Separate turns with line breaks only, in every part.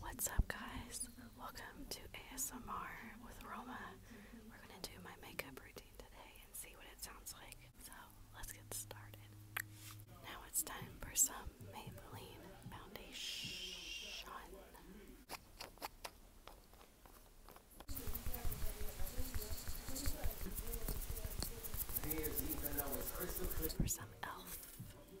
What's up, guys? Welcome to ASMR with Roma. We're gonna do my makeup routine today and see what it sounds like. So let's get started. Now it's time for some Maybelline foundation. For some e.l.f.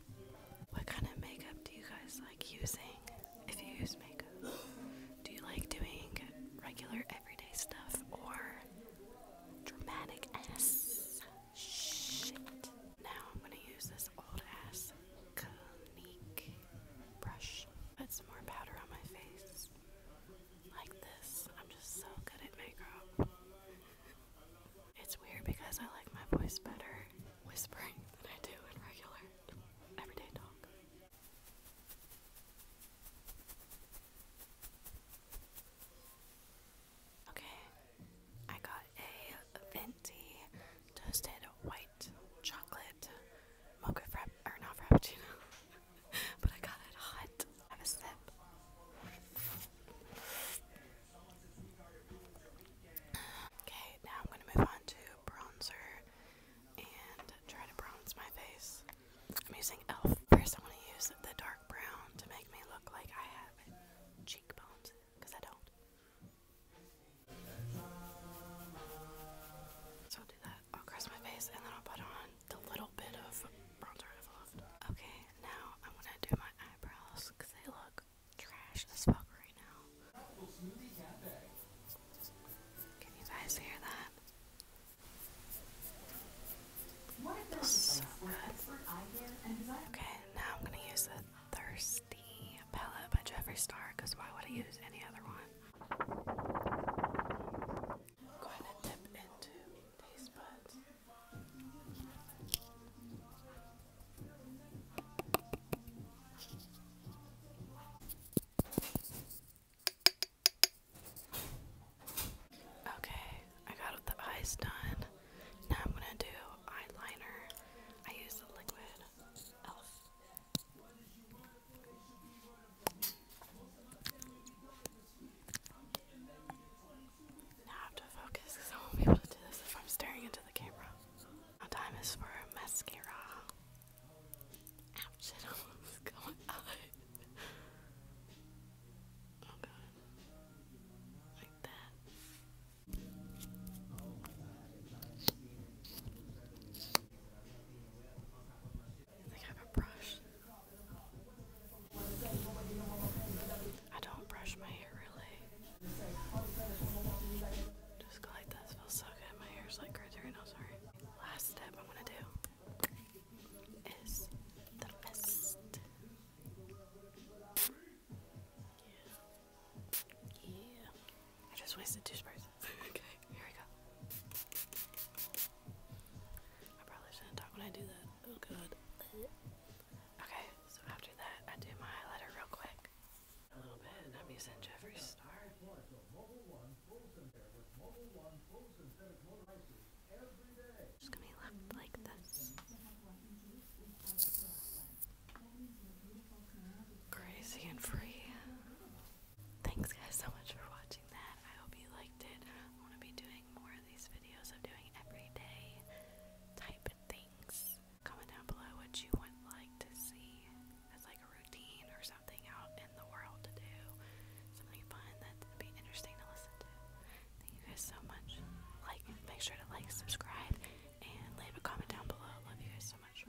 What kind of makeup do you guys like using? If you use makeup, do you like doing regular everyday stuff or dramatic ass shit? Now I'm gonna use this old ass Clinique brush. Put some more powder on my face. Like this. I'm just so good at makeup. It's weird because I like my voice better whispering than I do in regular everyday talk. Okay, I got a venti toasted white chocolate mocha frap or not frappuccino, but I got it hot. Have a sip. Okay, now I'm going to move on to bronzer and try to bronze my face. I'm using e.l.f. First, want to use the dark brown to make me look like I have cheekbones, because I don't. So I'll do that across my face and then I'll put on the little bit of bronzer I've left. Okay, now I'm gonna do my eyebrows because they look trash this fuck right now. Can you guys hear that? so good. Okay, now I'm gonna use the Thirsty palette by Jeffree Star why would I use any other one? I'm going dip into these buds. Okay, I got the eyes done. Now I'm gonna do eyeliner. I use the liquid elf. Now I have to focus because I won't be able to do this if I'm staring into the camera. time is for mascara. Ouch, almost going out. Oh god. Like that. I I have a brush. I don't brush my hair really. Just like this. Feels so good. My hair's like right there. sorry. Last step I'm gonna do is the mist. Yeah. I just wasted two sprays. okay. Here we go. I probably shouldn't talk when I do that. Oh god. Okay, so after that, I do my highlighter real quick. A little bit, I'm using Jeffree Just gonna be left like this. Crazy and free. Thanks guys so much for watching that. I hope you liked it. I'm gonna be doing more of these videos of doing everyday type things. Comment down below what you would like to see as like a routine or something out in the world to do. Something fun that'd be interesting to listen to. Thank you guys so much. Like make sure to like, subscribe, and leave a comment down below. Love you guys so much.